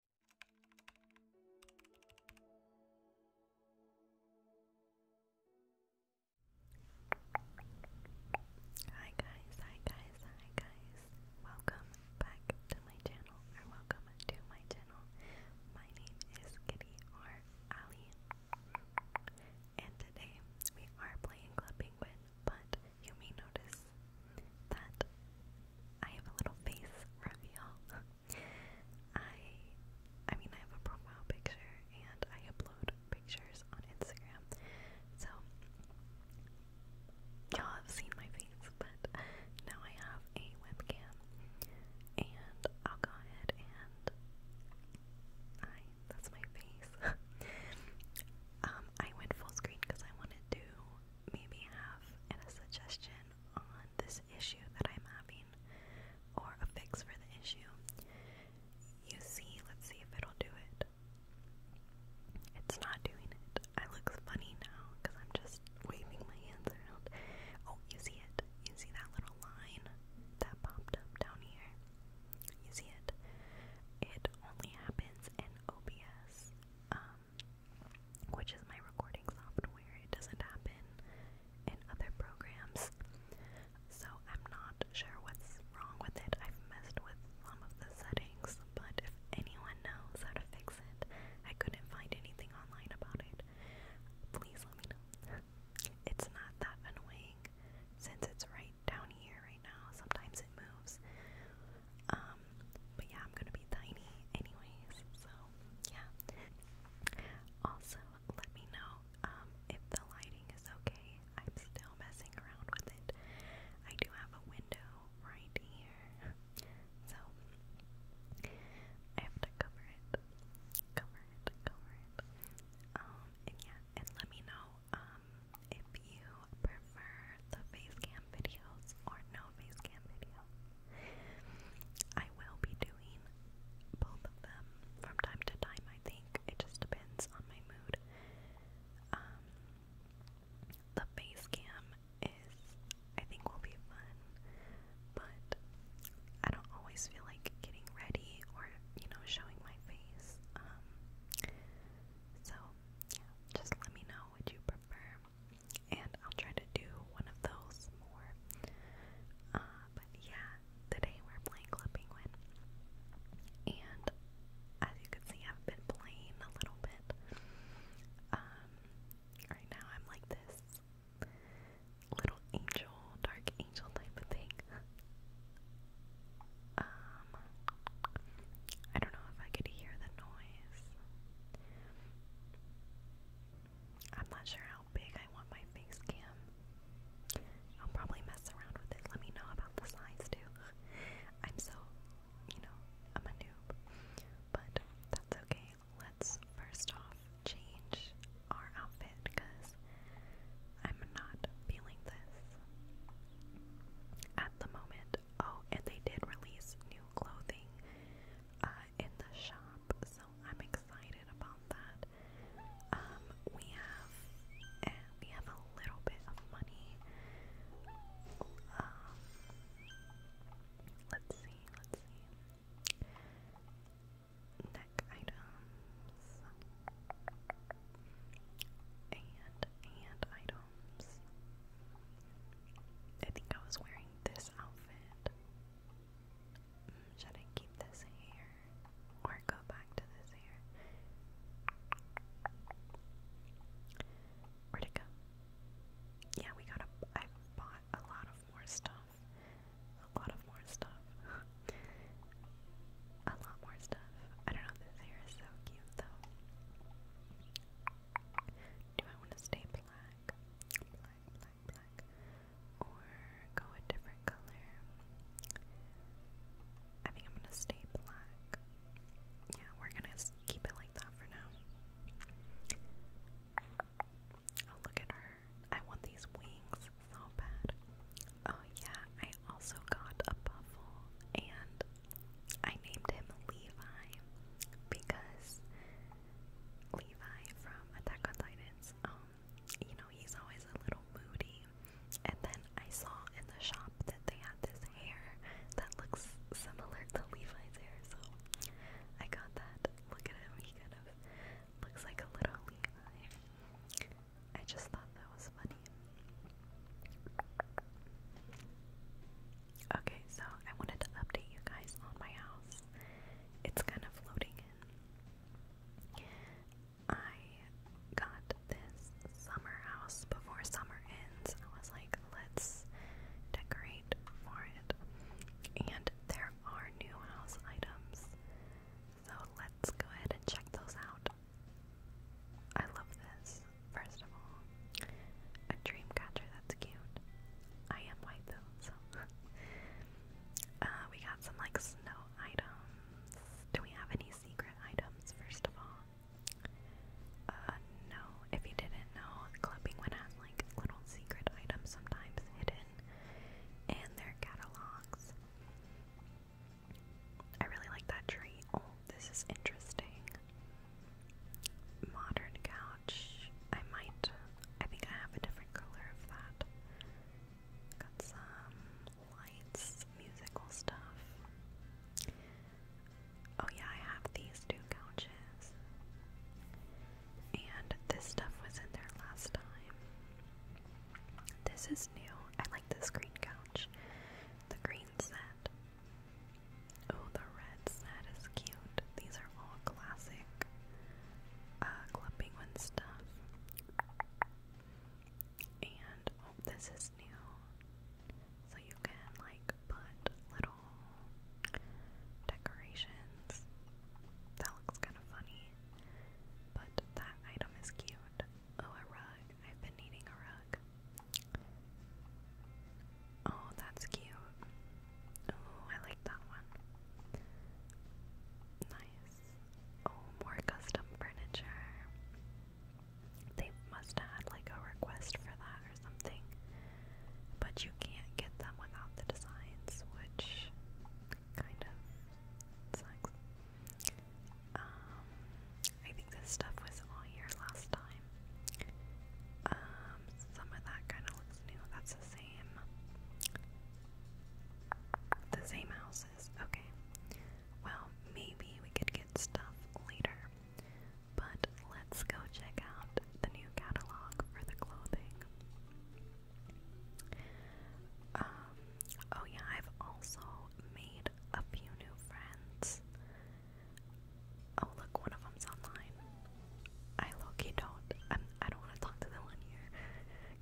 Hi guys, hi guys, hi guys. Welcome back to my channel or welcome to my channel. My name is Kitty or Ali. And today we are playing Club Penguin, but you may notice that I have a little face reveal. I I mean I have a profile picture and I upload pictures on Instagram. So y'all have seen my face, but now I have a webcam and I'll go ahead and I that's my face. um I went full screen because I wanted to maybe have a suggestion on this issue that I'm having or a fix for the issue. You see, let's see if it'll do it. It's not doing it. I look funny now because I'm just waving my hands around. Oh, you see it. You see that little line that popped up down here? You see it? It only happens in OBS. Um, which is my recording software. It doesn't happen in other programs. So I'm not sure what's wrong with it. I've messed with some of the settings, but if anyone knows how to fix it, I couldn't find anything online about it. Please let me know. It's not that annoying since it's right down here right now. Sometimes it moves. Um, but yeah, I'm gonna be tiny anyways, so yeah. Also, let me know um, if the lighting is okay. I'm still messing around with it. I do have a window right here, so I have to cover it, cover it, cover it. Um, and yeah, and let me know um, if you prefer the face videos or no no video. I will be doing both of them from time to time, I think. It just depends on my mood. Um, the face is, I think, will be fun, but I don't always feel like getting ready or, you know, showing my face. Um, so, just let me know what you prefer and I'll try to do one of those more. Uh, but yeah, today we're playing Club Penguin, and as you can see, I've been playing a little bit. Um, right now I'm like this little angel, dark angel type of thing. Um, I don't know if I could hear the noise. I'm not sure how big I want my face cam. I'll probably mess around with it. Let me know about the size too. I'm so, you know, I'm a noob. But that's okay. Let's first off change our outfit because I'm not feeling this at the moment. Oh, and they did release new clothing uh, in the shop, so I'm excited about that. Um, we have eh, we have a little bit of money. Um, let's see, let's see. Neck items and and items. I think I was wearing this outfit. Mm, should I keep this hair or go back to this hair? Where'd go? Yeah, we got a. I bought a lot of more stuff. A lot of more stuff. a lot more stuff. I don't know, this hair is so cute though. Do I want to stay black? or go a different color. I think I'm gonna stay black. Yeah, we're gonna keep it like that for now. Oh, look at her. I want these wings so bad. Oh, yeah, I also got a buffle and I named him Levi because Levi from Attack on Titans, um, you know, he's always a little moody. And then I saw in the shop that they had this hair that looks similar to Levi's hair, so I got that. Look at him, he kind of looks like a little Levi. I just thought that was funny. Okay, so I wanted to update you guys on my house. It's kind of floating in. I got this summer house before summer ends. I was like, let's decorate for it. And there are new house items. So let's go ahead and check those out. I love this, first of all. A dream that's cute. I am white though, so. Uh, we got some like snow items. Do we have any secret items, first of all? Uh, no. If you didn't know, Clubbing One has like little secret items sometimes hidden in their catalogs. I really like that tree. Oh, this is interesting modern couch. I might. I think I have a different color of that. Got some lights, musical stuff. Oh, yeah, I have these two couches. And this stuff was in there last time. This is new. I like this green couch. The green set. Oh, the red is cute. These are all classic uh, Club stuff. And oh, this is new. So you can like put little decorations. That looks kind of funny. But that item is cute. Oh, a rug. I've been needing a rug. Oh, that's cute. Oh, I like that one. Nice. Oh, more custom furniture. They must have like a request for that or something. But you can't get them without the designs, which kind of sucks. Um, I think this stuff was all here last time. Um, some of that kind of looks new. That's the same. The same houses. Okay. Well, maybe we could get stuff later. But let's go check out the new catalog for the clothing. Um, oh yeah, I've also made a few new friends. Oh look, one of them's online. I low-key don't. I'm, I do not want to talk to them one here,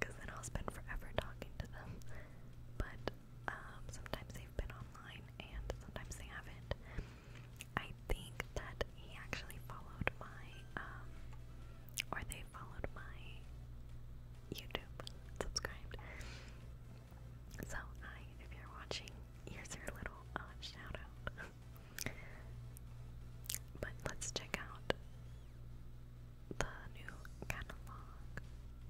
cause then I'll spend forever talking to them. But um, sometimes they've been online, and sometimes they haven't. I think that he actually followed my, um, or they followed my YouTube, subscribed. So hi, if you're watching, here's your little uh, shout out. But let's check out the new catalog.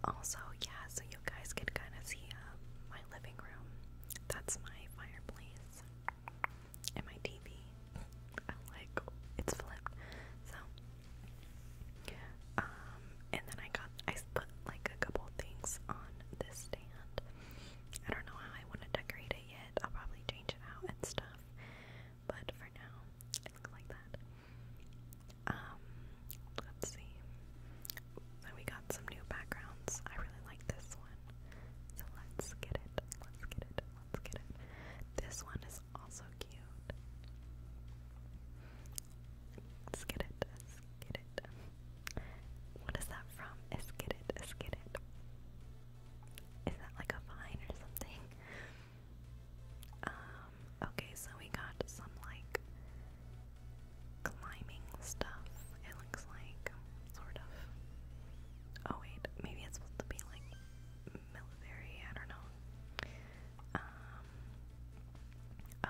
Also, yeah, so you guys can kind of see uh, my living room. That's my fireplace and my TV. I like it's flipped. So, um, and then I got I put like a couple things on this stand I don't know how I want to decorate it yet. I'll probably change it out and stuff. But for now, it looks like that. Um, let's see. So we got some new backgrounds. I really like this one. So let's get it. Let's get it. Let's get it. This one is also cute. Let's get it. Let's get it. What is that from? Eskidit, Eskidit. Is that like a vine or something? Um, okay, so we got some like climbing stuff, it looks like, sort of. Oh wait, maybe it's supposed to be like military, I don't know. Um,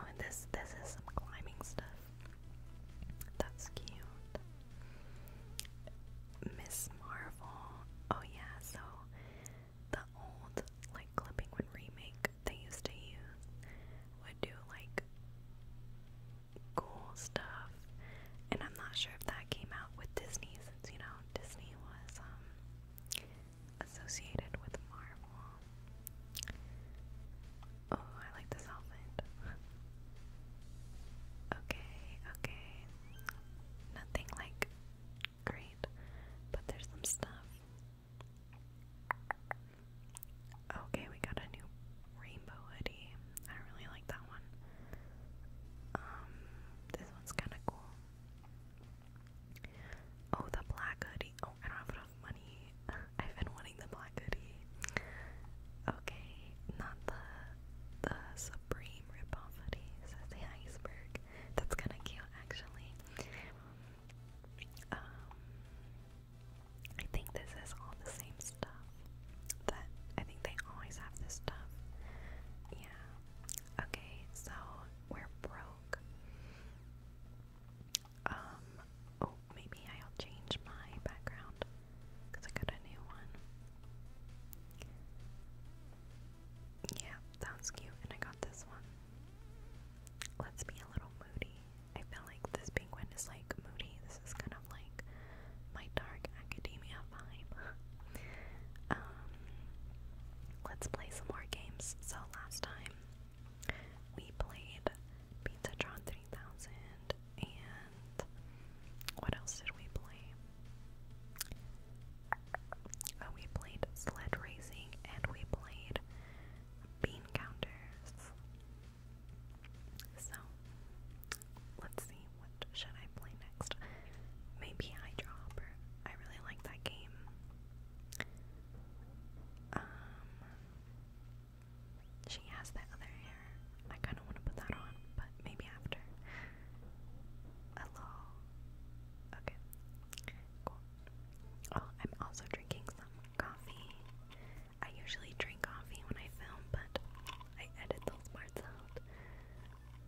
oh, and this, this is some climbing stuff. That's cute. Miss Marvel. Oh yeah, so the old like clipping would remake they used to use would do like cool stuff. And I'm not sure if that came out with Disney since you know Disney was um, associated with Marvel. Oh, I like this outfit. okay, okay. Nothing like great, but there's some stuff. Okay, we got a new rainbow hoodie. I really like that one. Um, this one's kind of cool. Oh, the black hoodie. Oh, I don't have enough money. I've been wanting the black hoodie. Okay, not the the Supreme ripoff hoodie. So the iceberg. That's kind of cute, actually. Um, I think this is all the same stuff. That I think they always have this stuff. Yeah. Okay, so we're broke. Um. Oh, maybe I'll change my background because I got a new one. Yeah, sounds cute, and I got this one. Let's be a little moody. I feel like this penguin is like moody. This is kind of like my dark academia vibe. Um, let's play some more games. So last time we played Pizzatron 3000, and what else did we play? Oh, we played sled racing and we played bean counters. So, let's see, what should I play next? Maybe Hydro Hopper. I really like that game. Um, she has that other hair. I kind of want to put that on, but maybe after. Hello. Okay. Cool. Oh, I'm also drinking some coffee. I usually drink coffee when I film, but I edit those parts out.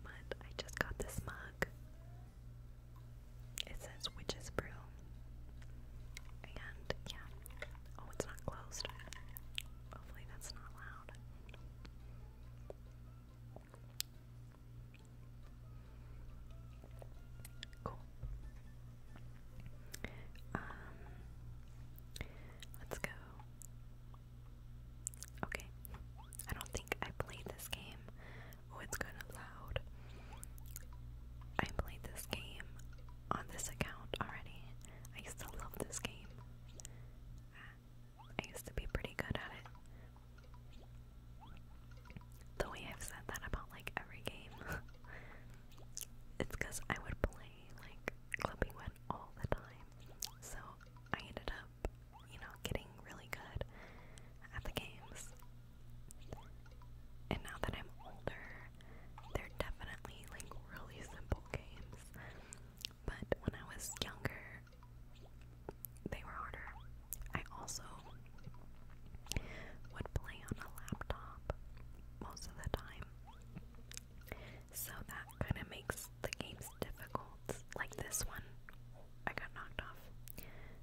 But I just got this mug. It says Witch's Brew. And yeah. Oh, it's not closed. Hopefully that's not loud. Cool. Um let's go. Okay. I don't think I played this game. Oh, it's kind of loud. I played this game on this account already. I used to love this game. I used to be pretty good at it. The way I've said that about like every game, it's because I would play like Clipping Wet all the time. So I ended up, you know, getting really good at the games. And now that I'm older, they're definitely like really simple games, but when I was younger, they were harder. I also would play on a laptop most of the time, so that kind of makes the games difficult. Like this one, I got knocked off.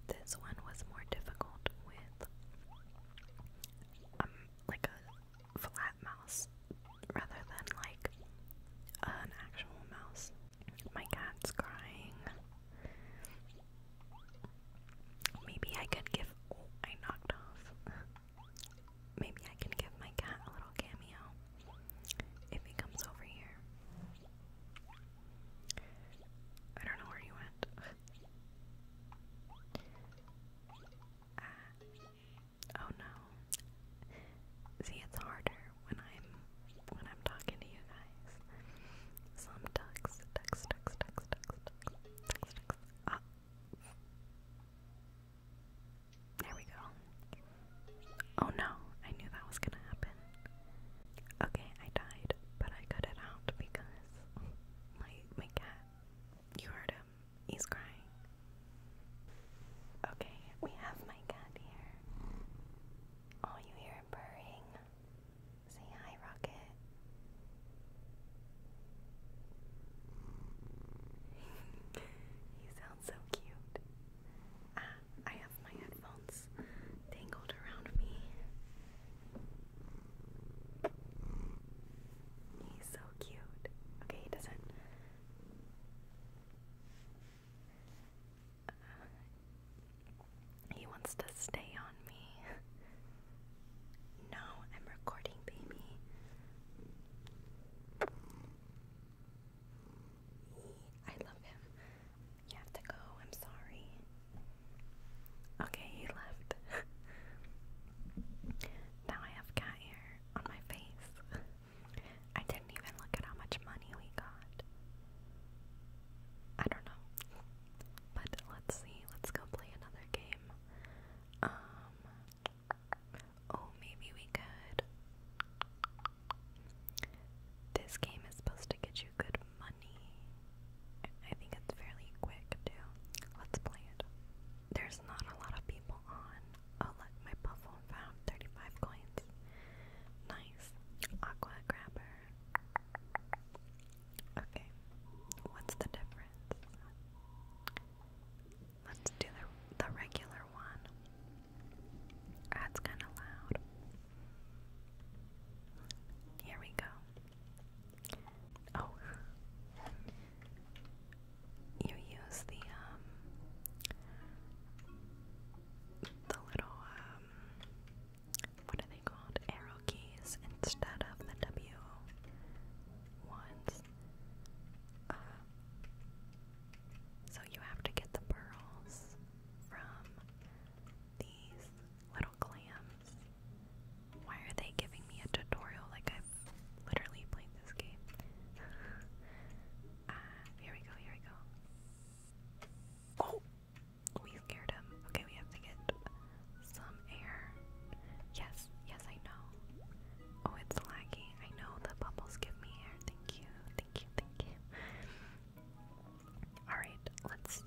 This one was more difficult with um like a flat mouse rather than like an actual mouse. My cat's crying. Maybe I could give. Oh, I knocked off. Maybe I can give my cat a little cameo if he comes over here. I don't know where he went. Ah, Oh no. See, it's harder when I'm when I'm talking to you guys. Some ducks, ducks, ducks, ducks, ducks, ducks, ducks, Ah. There we go. Oh no, I knew that was gonna happen. Okay, I died, but I cut it out because my my cat you heard him He's crying. Okay, we have my cat here. Oh, you hear purring. Say hi, Rocket. you sound so cute. Ah, I have my headphones tangled around me. He's so cute. Okay, he doesn't. Uh, he wants to stay on me. no, I'm recording, baby. I love him. You have to go. I'm sorry. Okay, he left. now I have Cat on my face. I didn't even look at how much money we got. I don't know. But let's see. Let's go play another game. Um Oh, maybe we could. This game is supposed to get you good money. I think it's fairly quick too. Let's play it. There's there's not a lot of people on. Oh look, my Puffle found 35 coins. Nice. Aqua grabber. Okay. What's the difference? Let's do the, the regular one. That's kind of loud. Here we go. Oh. You use the um the little um what are they called? Arrow keys instead of the W ones. Uh, so you have to get the pearls from these little clams why are they giving me a tutorial? Like, I've literally played this game. uh, here we go, here we go. Oh! We scared him. Okay, we have to get some air. Yes, yes, I know. Oh, it's lagging. I know the bubbles give me air. Thank you, thank you, thank you. Alright, let's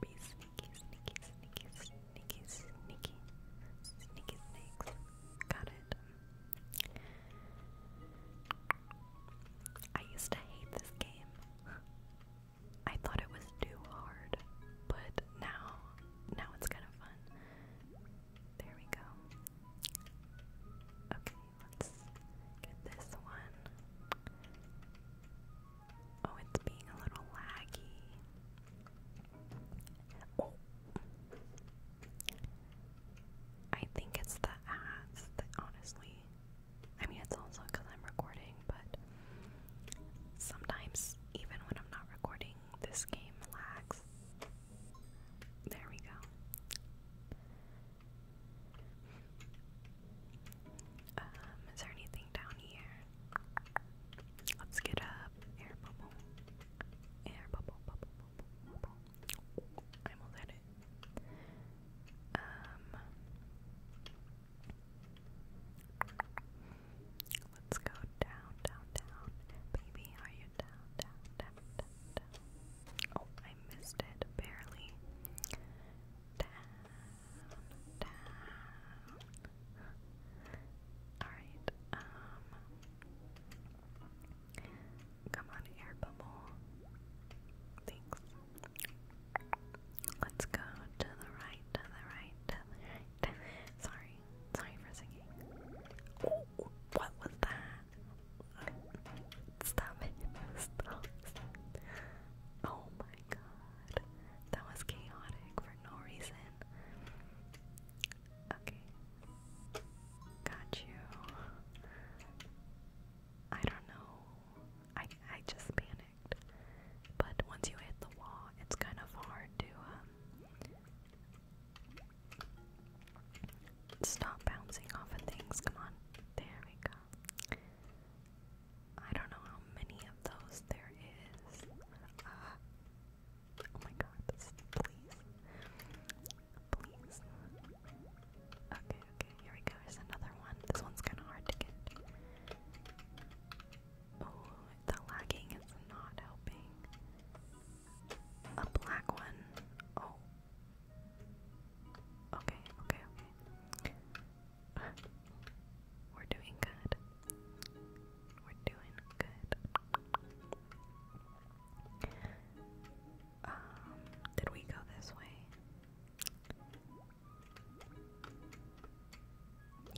be sneaky, sneaky, sneaky, Sneaky, sneaky, sneaky snakes. Got it. I used to hate this game. I thought it was too hard, but now, now it's kind of fun. There we go. Okay, let's get this one. Oh, it's being a little laggy. Oh. I think it's the ads that honestly. I mean, it's also because I'm recording, but sometimes, even when I'm not recording, this game lags. There we go. Um, is there anything down here? Let's get up. Air bubble. Air bubble, bubble, bubble, almost had it. Um. Let's go down, down, down. Baby, are you down, down, down, down, down? Oh, I missed it. Barely. Down, down. Alright, um. Come on, air bubble. Thanks. Let's go to the right, to the right, to the right. Sorry, sorry for singing. what was that? Stop it. Stop. Oh my god. That was chaotic for no reason. Okay. Got you. I don't know. I I just panicked. But once you hit the wall, it's kind of hard to um, stop bouncing off of things. Come on. There we go. I don't know how many of those there is. Ah. Oh my god, please. Please. Okay, okay, here we go. Here's another one. This one's kind of hard to get. Oh, the lagging is not helping. A black one. Oh. Okay, okay, okay. We're doing good. We're doing good. Um, did we go this way?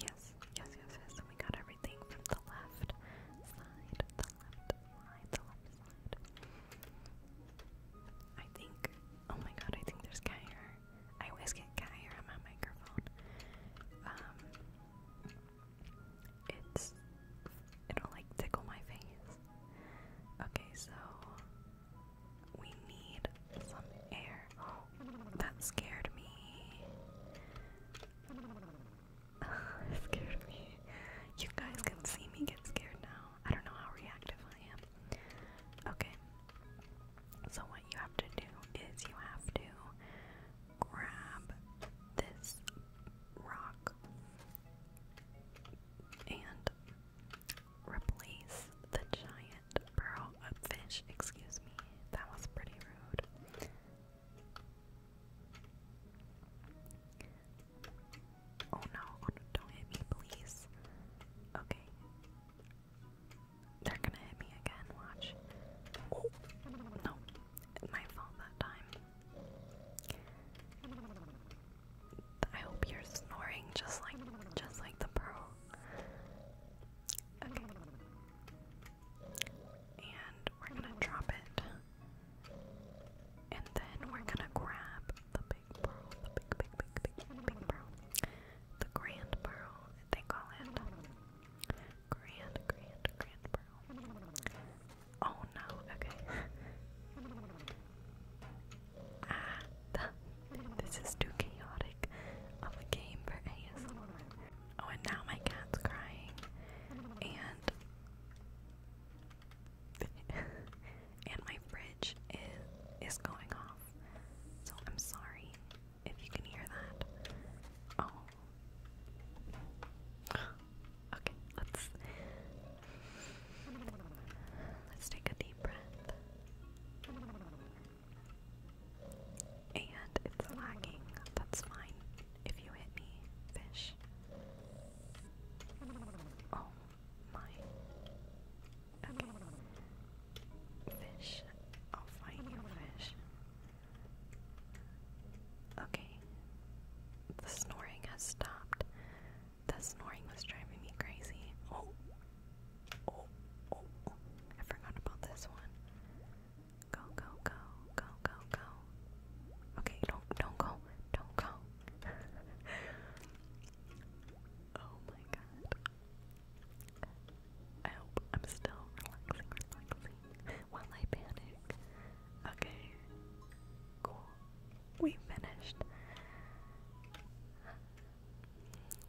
Yes, yes, yes, yes. We got everything from the left side, the left side, the left side. I think, oh my god, I think there's Kyra. I always get Kyra on my microphone. Um, it's it'll like tickle my face. Okay, so we need some air. that scared me. scared me. You guys can see me get scared now. I don't know how reactive I am. Okay. So what you have to do is you have to grab this rock and replace the giant pearl of fish. Excuse me, that was pretty rude. Oh no, oh, don't hit me, please. Okay. They're gonna hit me again, watch. no, my fault that time. I hope you're snoring just like, just like the pearl. Okay. And we're gonna drop it. And then we're gonna grab the big pearl, the big, big, big, big pearl. The grand pearl, they call it. Grand, grand, grand pearl. Oh no, okay. ah, this is too chaotic of a game for ASMR. Oh, and now my cat's crying. And. and my fridge is is going off. So I'm sorry if you can hear that. Oh. Okay, let's let's take a deep breath. And it's lagging. That's fine. If you hit me, fish. Oh my. Fish. I'll find you, fish. Okay. The snoring has stopped. The snoring was driving me crazy. Oh. Oh. Oh. I forgot about this one. Go, go, go. Go, go, go. Okay, don't don't go. Don't go. oh my god. I hope I'm still relaxing, relaxing while I panic. Okay, cool. We finished.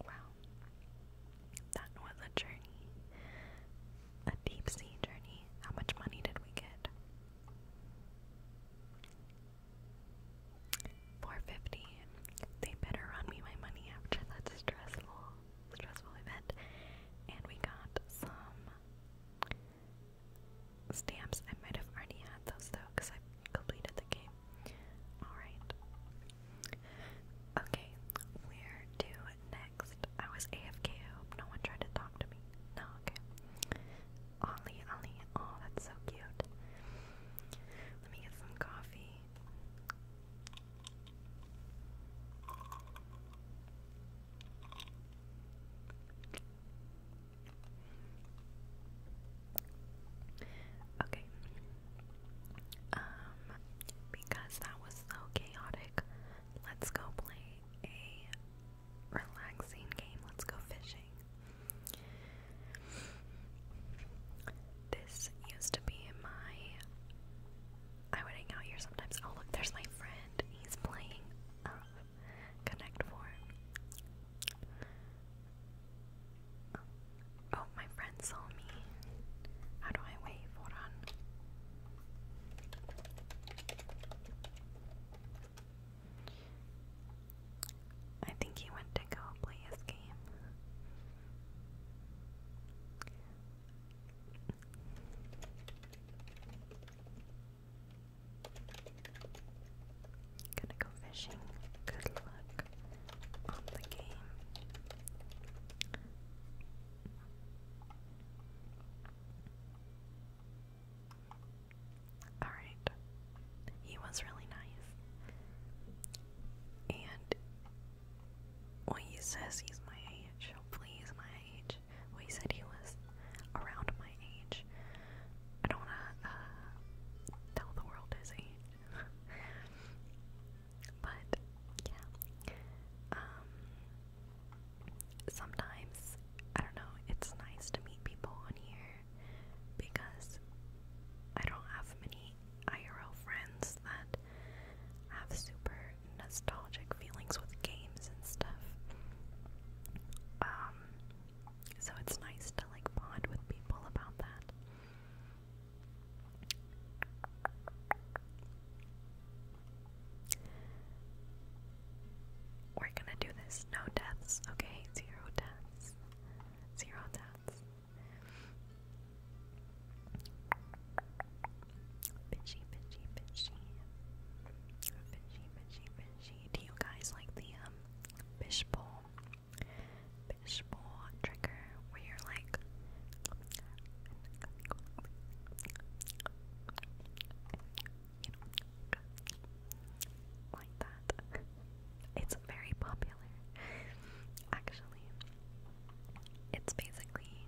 Wow. That was a journey. A deep sea journey. How much money did we get? 450. They better run me my money after that's stressful stressful event, and we got some stamps. I might have already had those though, because I completed the game. Alright. Okay, where to next? I was AFK, no one tried to talk to me. No, okay. Ollie, Ollie, oh, that's so cute. Let me get some coffee. Okay. Um, because that was so chaotic, let's go play a relaxing game. Let's go fishing. This used to be my I would hang out here sometimes. Oh look, there's my friend. He's playing um, Connect Four. oh, my friend saw me. How do I wave? Hold on. I think he went to go play his game. Gonna go fishing. Good luck on the game. Alright. He was really nice. And well, he says he's my age. Hopefully, he's my age. Well, he said he was around my age. I don't want to uh, tell the world his age. but, yeah. Um, sometimes, I don't know, it's nice to meet people on here because I don't have many IRL friends that have super nostalgic feelings with games and stuff. Um, so it's nice to like bond with people about that. We're gonna do this. No deaths, okay? Zero deaths. Zero deaths. Fishy, fishy, fishy. Fishy, fishy, fishy. Do you guys like the um fishbowl? Fishbowl trigger where you're like you know like that. It's very popular actually. It's basically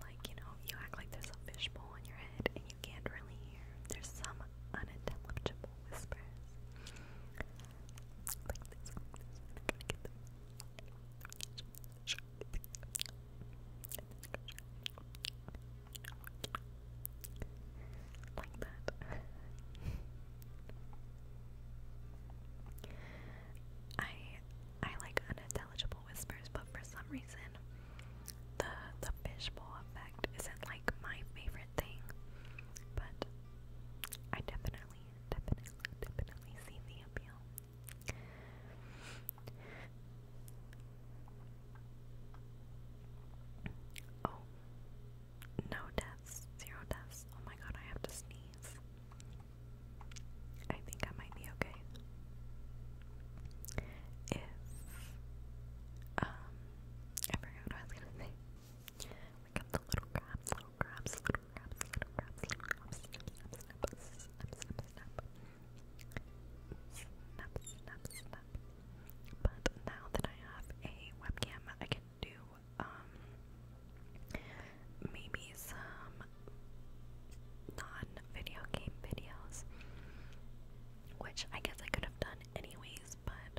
like, you know, you act like there's a fishbowl in your head and you can't really hear. There's some unintelligible whispers. Like this, like this. I'm gonna get them. Like that. I I like unintelligible whispers, but for some reason, the the fishbowl effect isn't like my favorite thing. But I definitely, definitely, definitely see the appeal. Oh, no deaths, zero deaths. Oh my god, I have to sneeze. I think I might be okay. If um I forgot what I was gonna say. We got the little crabs, little crabs, little crabs, little crabs, little crabs, snap, snap, snap, snap, snap, snap. Snap, snap, snap. But now that I have a webcam, I can do um maybe some non video game videos, which I guess I could have done anyways, but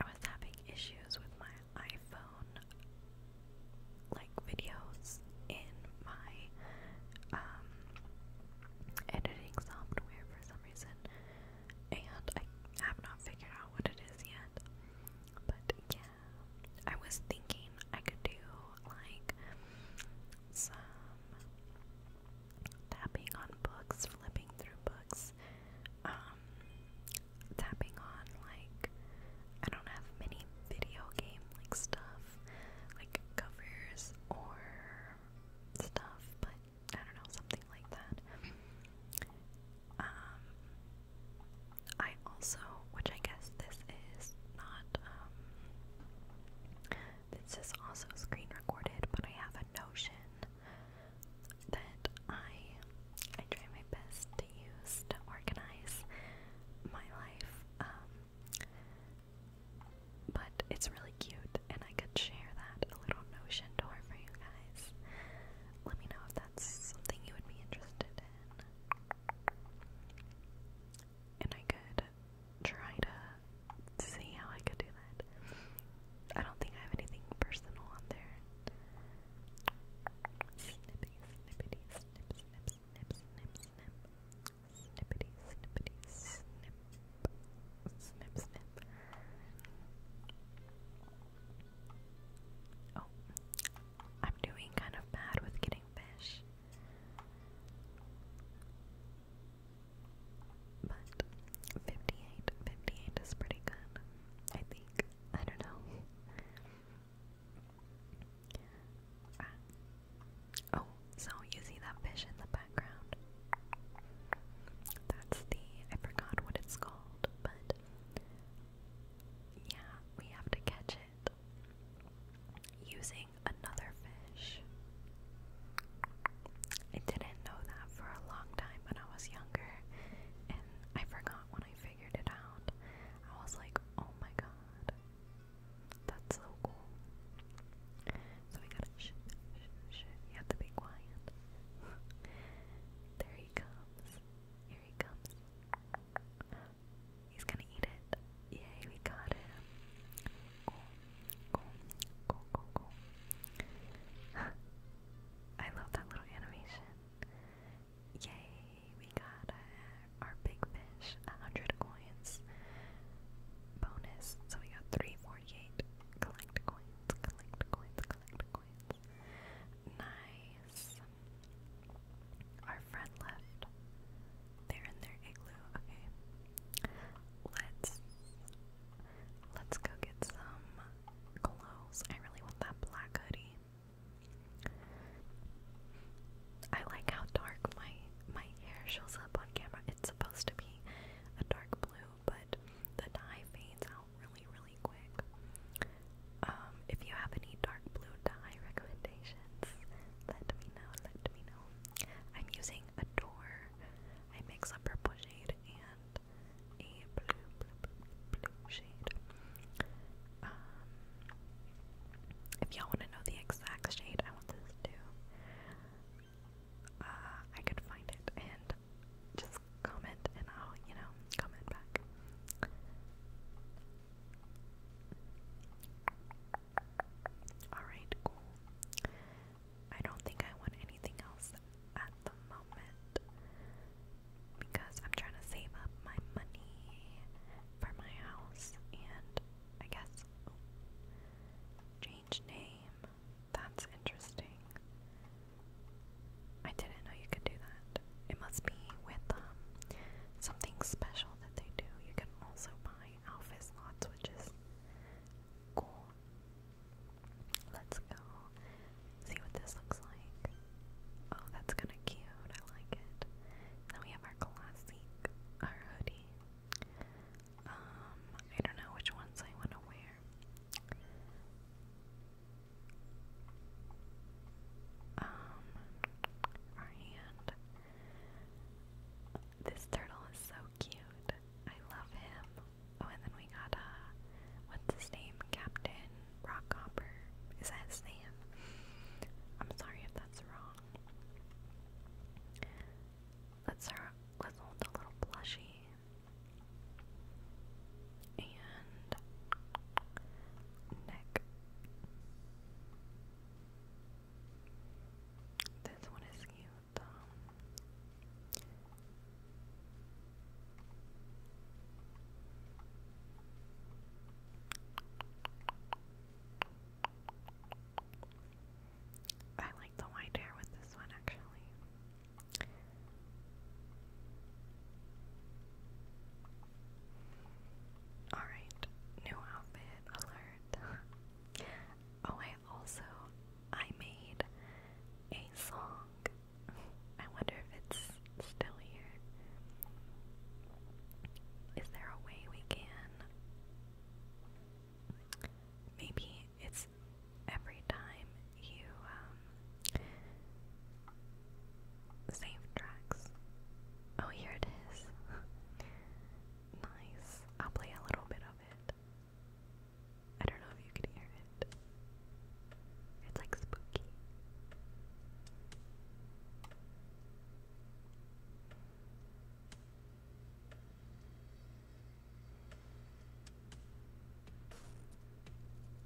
I was having issues with my iPhone like videos in my um, editing software for some reason and I have not figured out what it is yet. But yeah, I was thinking I could do like some tapping on books, flipping through books, um, tapping on like I don't have many video game like stuff, like covers or stuff, but I don't know something like that. Um, I also, which I guess this is not, um, this is also screen recorded, but I have a notion that I, I try my best to use to organize my life, um, but it's really cute, and I could share that a little notion door for you guys. Let me know if that's something you would be interested in. And I could try to see how I could do that. I don't think I have anything personal on there. Snippy, snippity, snip, snip, snip, snip, snip. Snippity, snippity, snip. Snip, snip. Oh, I'm doing kind of bad with getting fish. But 58, is pretty good, I think. I don't know. Ah. Oh, so you see that fish in the background? That's the, I forgot what it's called, but yeah, we have to catch it using another fish. I didn't know that for a long time when I was younger, and I forgot when I figured it out. I was like, oh my god, that's so cool. So we gotta shh, shh, you have to be quiet. there he comes. Here he comes. He's gonna eat it. Yay, we got him. Cool, cool, cool, cool, cool. I love that little animation. Yay, we got our big fish, 100 coins. Bonus, so we got 348. Collect coins, collect coins, collect coins. Nice. Our friend left. They're in their igloo. Okay. Let's let's go get some clothes. I really want that black hoodie. I like how dark my my hair shows up on camera. It's supposed to be a dark blue, but the dye fades out really, really quick. Um, if you have any dark blue dye recommendations, let me know, let me know. I'm using a door. I mix up purple shade and a blue, blue, blue, blue shade. Um, if y'all want to know the exact shade I want this to, uh, I could find it and just comment and I'll, you know, comment back. Alright, cool. I don't think I want anything else at the moment because I'm trying to save up my money for my house and I guess change name. That's interesting. I didn't know you could do that it must be with um, something special that they do. You can also buy alpha slots, which is cool. Let's go see what this looks like. Oh, that's kind of cute. I like it. Now we have our classic, our hoodie. Um, I don't know which ones I want to wear um, our This turtle is so cute. I love him. Oh, and then we got, uh, what's his name? Captain Rockhopper. Is that his name? I'm sorry if that's wrong. Let's start, little plushie. And neck this one is cute I like the white hair with this one actually. Alright, new outfit alert. oh, I also I made a song. I wonder if it's still here. Is there a way we can maybe it's every time you um, Save tracks. Oh, here it is. nice. I'll play a little bit of it. I don't know if you can hear it. It's like spooky.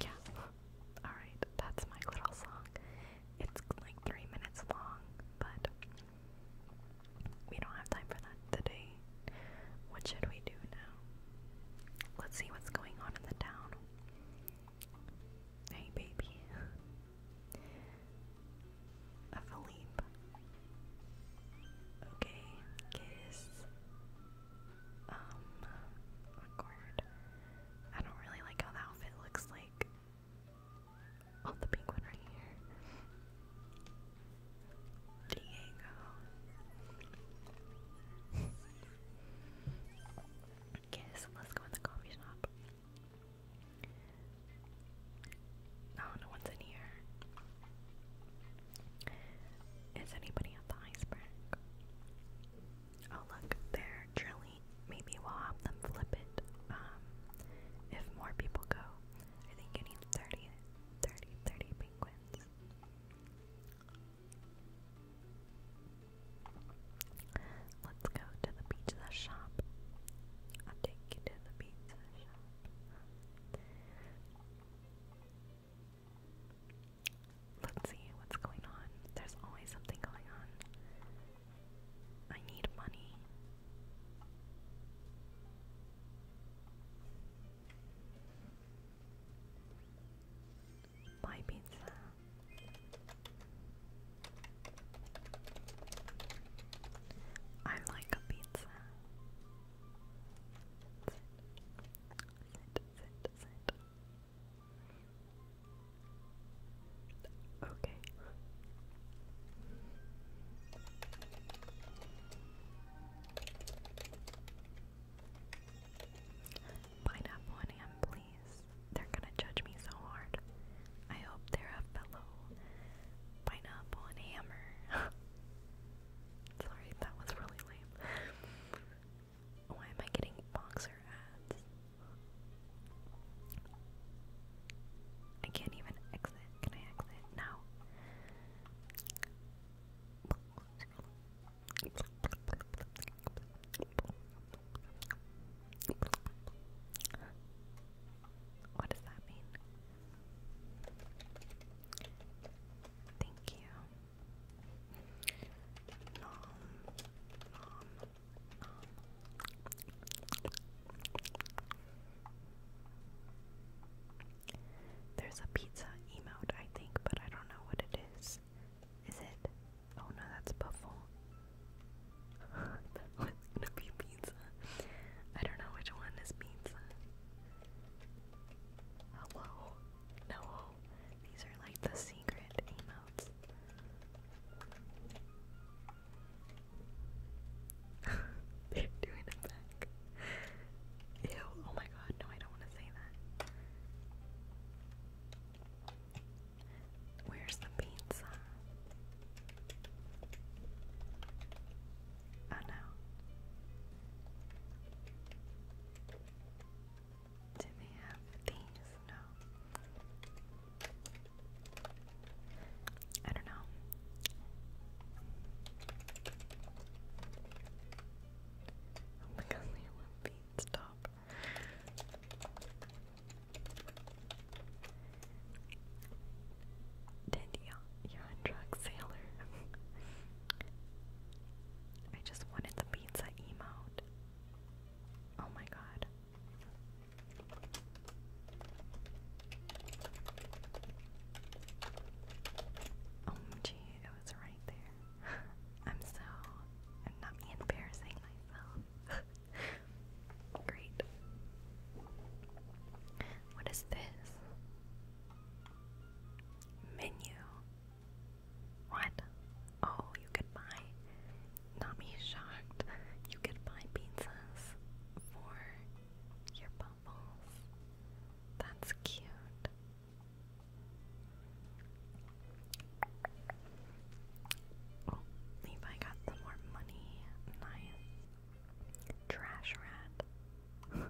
Yeah. Alright, that's my little song. It's like three minutes long, but we don't have time for that today. What should we do now? Let's see what's going on in the town. Hey, baby a Okay, kiss. Um, record. I don't really like how the outfit looks like on oh, the pink right here. Diego. Kiss, let's go in the coffee shop. Oh, no one's in here. Is anybody at the iceberg? Oh, look, they're drilling. Maybe we'll have them flip it um, if more people go. I think you need 30, 30, 30 penguins. Let's go to the pizza shop. I'll take you to the pizza shop. Let's see what's going on. There's always something going on. I need money. Buy pizza. I like a pizza. Sit, sit, Okay. Pineapple and please. They're gonna judge me so hard. I hope they're a fellow pineapple and hammer. Sorry, that was really lame. Why am I getting boxer ads? I can't even exit. Can I exit now? What does that mean? Thank you. Nom, nom, nom. There's a pizza emote, I think, but I don't know what it is. Is it? Oh no, that's Buffle. that was gonna be I don't know which one is pizza. Oh, Hello? No. These are like the secret emotes. They're doing it back. Ew, oh my god, no, I don't want to say that. Where's the pizza? Oh no. Do they have these? No. I don't know. Oh my god, they want beads, stop. Did you? are a drug sailor. I just wanted the pizza emote. Oh my god. OMG, oh, it was right there. I'm so. I'm not embarrassing myself. Great. What is this? Menu. What? Oh, you could buy. Not me shocked. You could buy pizzas for your bubbles. That's cute. Oh, Levi got some more money. Nice. Trash rat.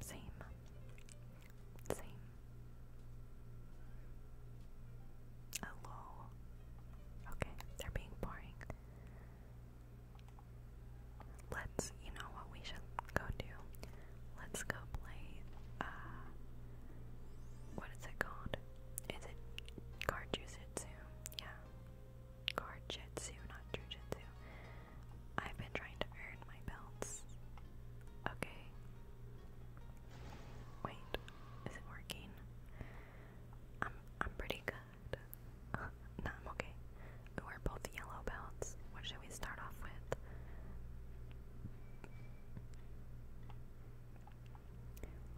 same. Same. Hello. Okay, they're being boring. Let's, you know what we should go do? Let's go play, uh, what is it called? Is it Card Jujitsu? Yeah, Jitsu, not jujitsu. I've been trying to earn my belts. Okay. Wait, is it working? I'm I'm pretty good. no, I'm okay. We're both yellow belts. What should we start off with?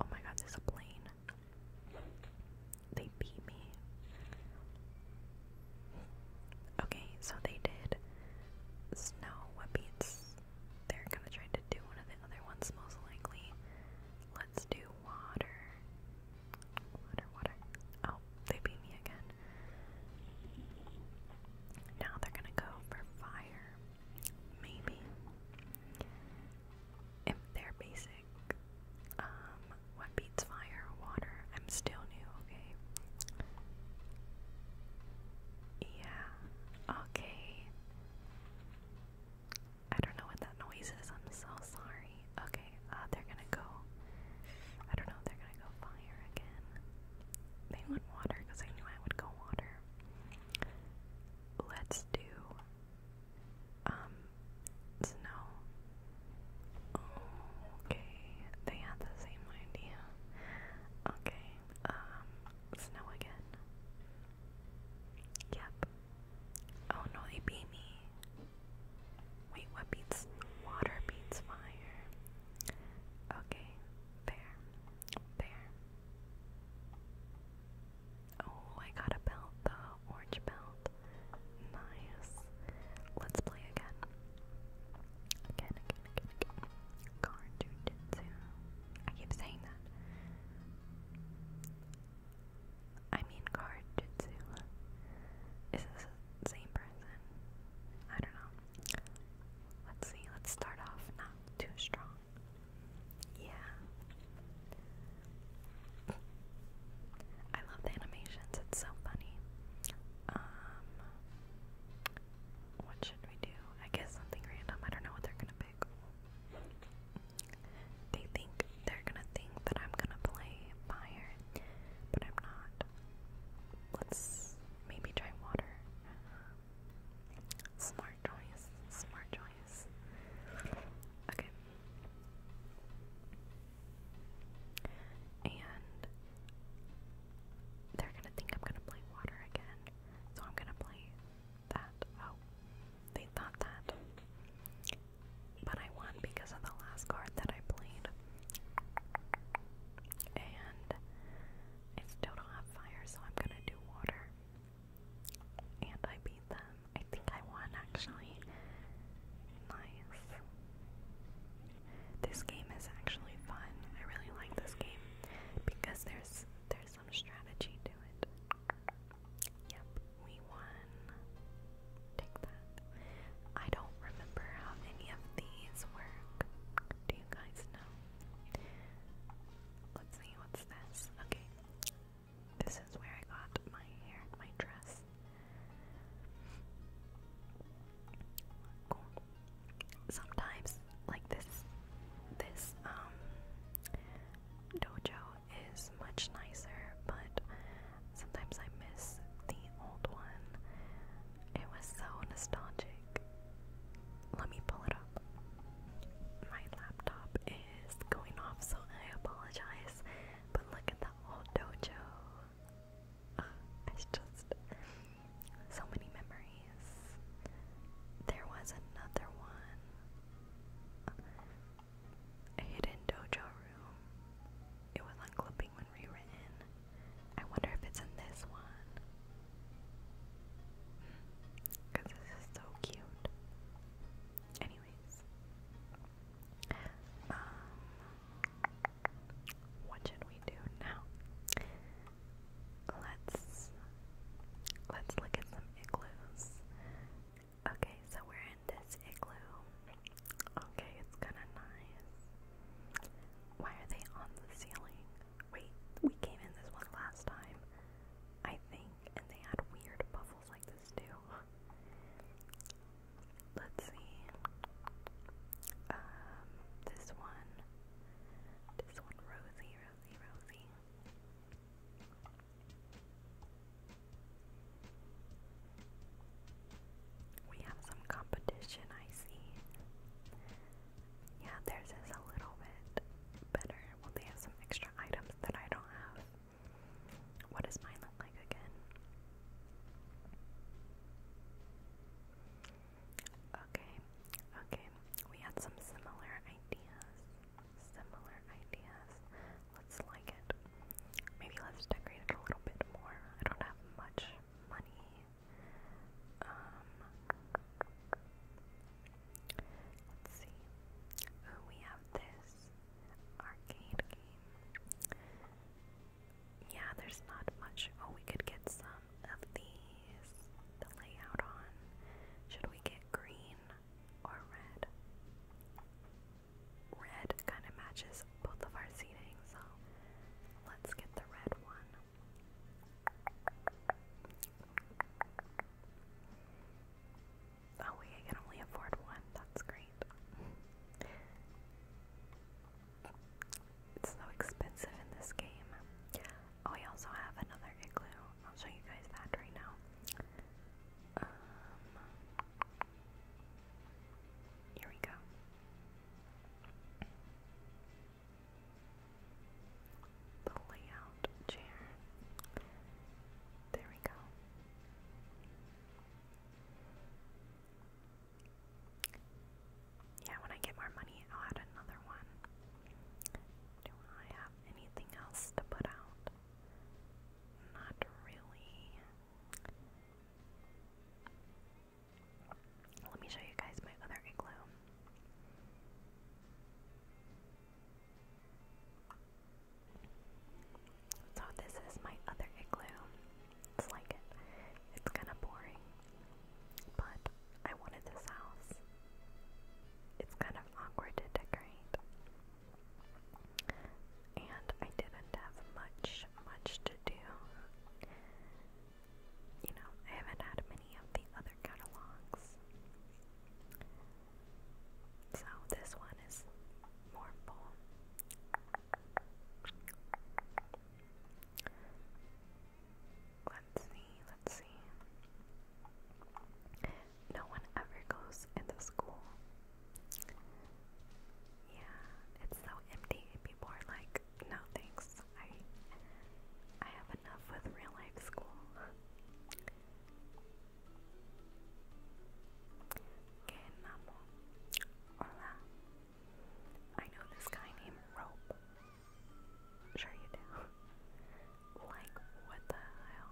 Oh my god, there's a plane. They beat me. Okay, so they did snow. What beats? They're gonna try to do one of the other ones, most likely. Let's do water. Water, Oh, they beat me again. Now they're gonna go for fire. Maybe. If their basic um, what beats fire? Water. I'm still new, okay? Yeah, okay. I don't know what that noise is, I'm so sorry. Okay, uh, they're gonna go. I don't know, they're gonna go fire again. They went water because I knew I would go water. Let's do um, snow. okay, they had the same idea. Okay, um, snow again. Yep. Oh no, they beat me. Wait, what beats water beats fire? Okay, there, there. Oh, I got a belt though. Orange belt. Nice. Let's play again. Again, again, again, again. Car I keep saying that. I mean Car Is this the same person? I don't know. Let's see, let's start off not too strong. Yeah. I love the animations, it's so funny. Um what should we do? I guess something random. I don't know what they're gonna pick. They think they're gonna think that I'm gonna play fire, but I'm not. Let's maybe try water. Smart choice. Smart choice. Okay. And they're gonna think I'm gonna play water again. So I'm gonna play that. Oh, they thought that. But I won because of the last card that I played. And I still don't have fire, so I'm gonna do water. And I beat them. I think I won actually. Nice. This game is actually fun. I really like this game because there's there's some strategy to it. Yep, we won. Take that. I don't remember how many of these work. Do you guys know? Let's see what's this. Okay. This is where I got my hair, my dress. Sometimes, like this, this um, dojo is much nicer, but sometimes I miss the old one. It was so nostalgic. Let me pull it up. My laptop is going off, so I apologize. But look at that old dojo. Uh, it's just so many memories. There was another one. a hidden dojo room. It was on when rewritten. I wonder if it's in this one. Because hmm. this is so cute. Anyway, um, what should we do now? Let's let's look at some igloos. Okay, so we're in this igloo. Okay, it's kind of nice. Why are they on the ceiling? Wait, we came in this one last time, I think, and they had weird bubbles Let's see. Um, this one. This one, Rosie, Rosie, Rosie. We have some competition, I see. Yeah, theirs is a little bit better. Well, they have some extra items that I don't have. What does mine look like again? Okay, okay. We had some similar ideas. Similar ideas. Let's like it. Maybe let's decorate a little bit more. I don't have much money. Um, let's see. we have this arcade game. Yeah, there's not much. Oh, we could get some of these to lay out on. Should we get green or red? Red kind of matches both of our seating, so let's get the red one. Oh wait, can only afford one. That's great. It's so expensive in this game. Oh, I also have another igloo. I'll show you guys that right now. Um, here we go. The layout chair. There we go. Yeah, when I get more money, I'll add another one. Do I have anything else to put out? Not really. Let me show you guys my other igloo. So this is my other igloo. It's like it. It's kind of boring, but I wanted this house. It's kind of awkward to decorate. And I didn't have much, much to do. You know, I haven't had many of the other catalogs. So this one is mournful. Let's see, let's see. No one ever goes into school. Yeah, it's so empty. People are like, no thanks. I I have enough with real life school. Kenamo. Hola. I know this guy named Rope. Sure you do. like, what the hell?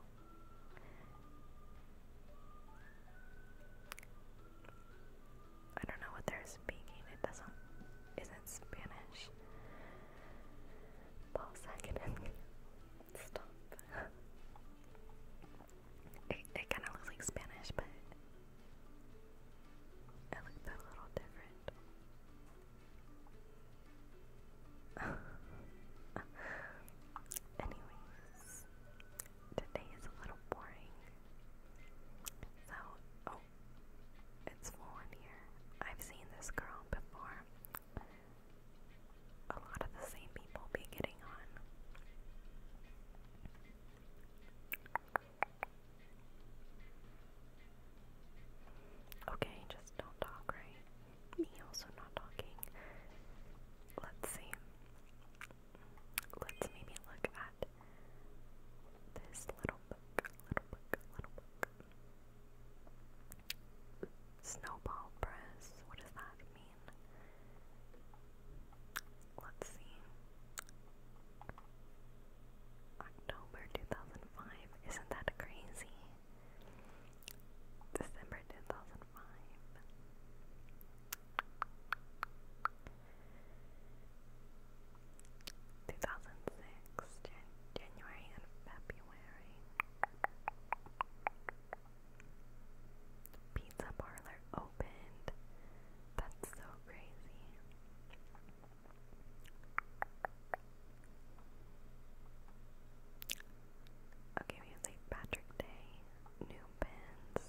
I don't know what they're speaking. It doesn't isn't Spanish. Paul second Stop. it kind of looks like Spanish, but it looked a little different. Anyways, today is a little boring. So, oh, it's full on here. I've seen this girl before a lot of the same people be getting on. Okay, just don't talk, right? Me also not talking. Let's see. Let's maybe look at this little book, little book, little book. Snowball press. What does that mean? Let's see. October 2005. Isn't that crazy? December 2005. Two thousand six, January and February. Pizza parlor opened. That's so crazy. Okay, Patrick Day, new pins,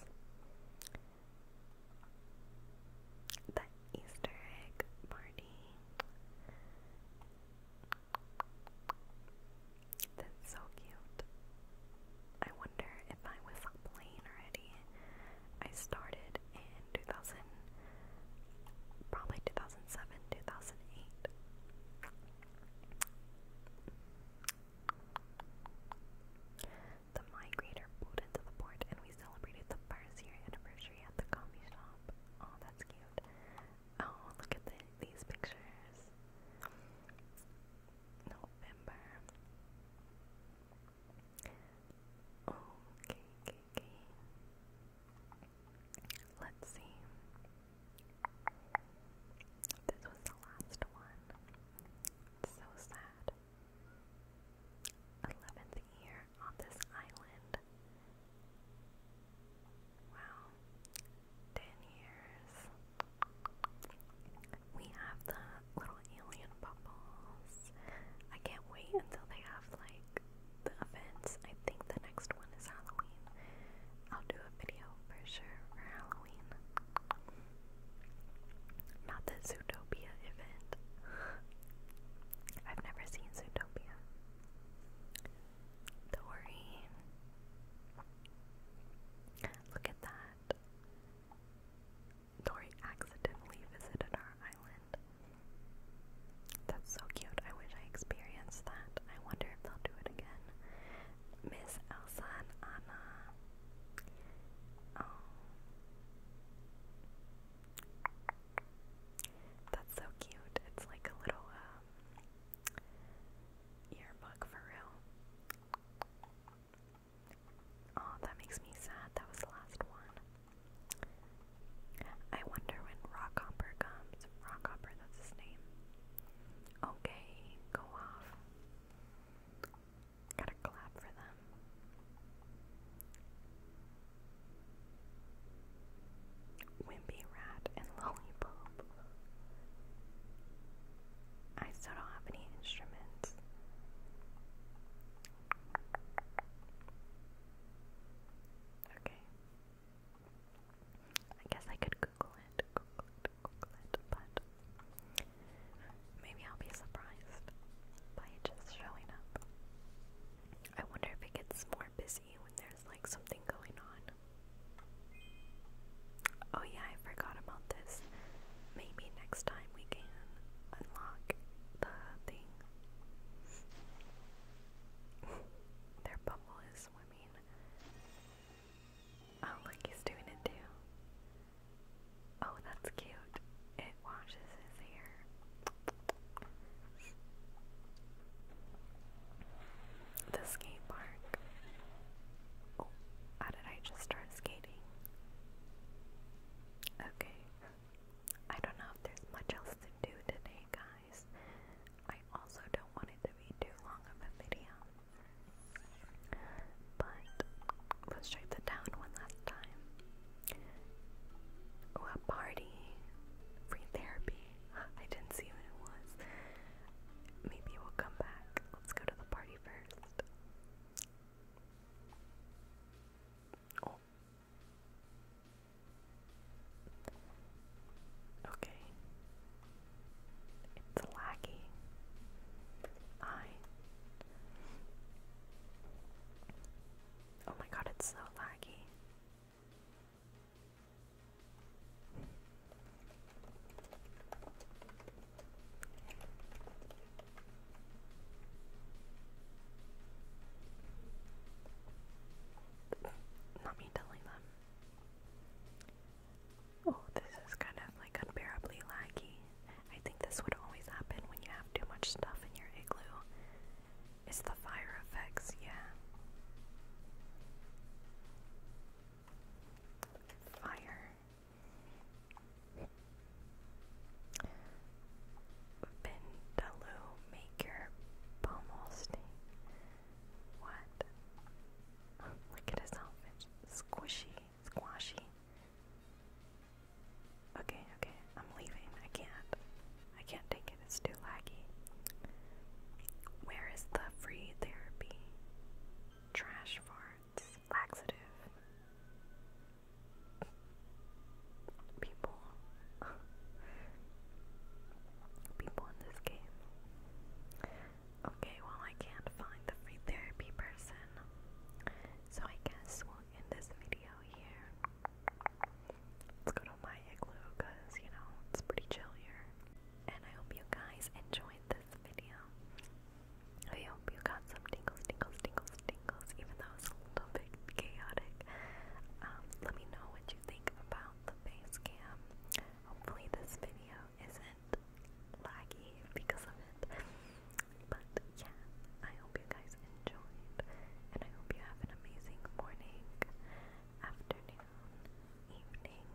the Easter egg party, that's so cute. I wonder if I was playing already. I started in 2000, probably 2007, 2008. The migrator pulled into the port and we celebrated the first year anniversary at the coffee shop. Oh, that's cute. Oh, look at these pictures. November. Okay, okay, okay. Let's see. This was the last one. so sad. 11th year on this island. Wow. Ten years. We have the little alien bubbles. I can't wait until they have like the events. I think the next one is Halloween. I'll do a video for sure for Halloween. Not the Zootopia event. I've never seen Zootopia the Look at that. Dory accidentally visited our island. That's so cute. I wish I experienced that. I wonder if they'll do it again. Miss Elsa and Anna. Oh. That's so cute. It's like a little um yearbook for real. Oh, that makes me sad. That was the last one. I wonder when Rockhopper comes. Rockhopper, that's his name. Okay, go off. Gotta clap for them. Wimpy Rat and Lollipop. I still don't have any instruments. Okay. I guess I could Google it, but maybe I'll be surprised by it just showing up. I wonder if it gets more busy when there's like something going on. Oh, yeah, I forgot about this. Maybe next time we can unlock the thing. Their bubble is swimming. Oh, look, he's doing it too. Oh, that's cute. It washes his hair. The skate park. Oh, how did I just start skating? Okay. I don't know if there's much else to do today, guys. I also don't want it to be too long of a video. But let's check the town one last time. Oh, a party. Free therapy. I didn't see what it was. Maybe we'll come back. Let's go to the party first. Oh. Okay. It's laggy. I. Oh my god, it's so laggy. Not me telling them. Oh, this is kind of like unbearably laggy. I think this would always happen when you have too much stuff in your igloo. Is the the fire effects, yeah. Fire. Vindaloo maker pomosty. What? look at his outfit. Squishy, squashy. Okay, okay, I'm leaving. I can't. I can't take it is too laggy. Where is the free therapy? Trash farts, laxative. People. People in this game. Okay, well, I can't find the free therapy person. So I guess we'll end this video here. Let's go to my igloo because, you know, it's pretty chill here and I hope you guys enjoyed this video. I hope you got some tingles, tingles, tingles, tingles, even though it's a little bit chaotic. Um, let me know what you think about the face cam. Hopefully this video isn't laggy because of it. But yeah, I hope you guys enjoyed, and I hope you have an amazing morning, afternoon, evening,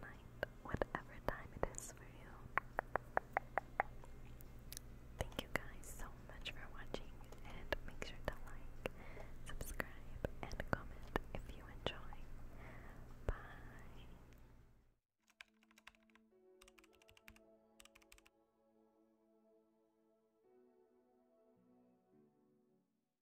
night, whatever time it is for you. Thank you guys so much for watching and make sure to like, subscribe, and comment if you enjoy. Bye!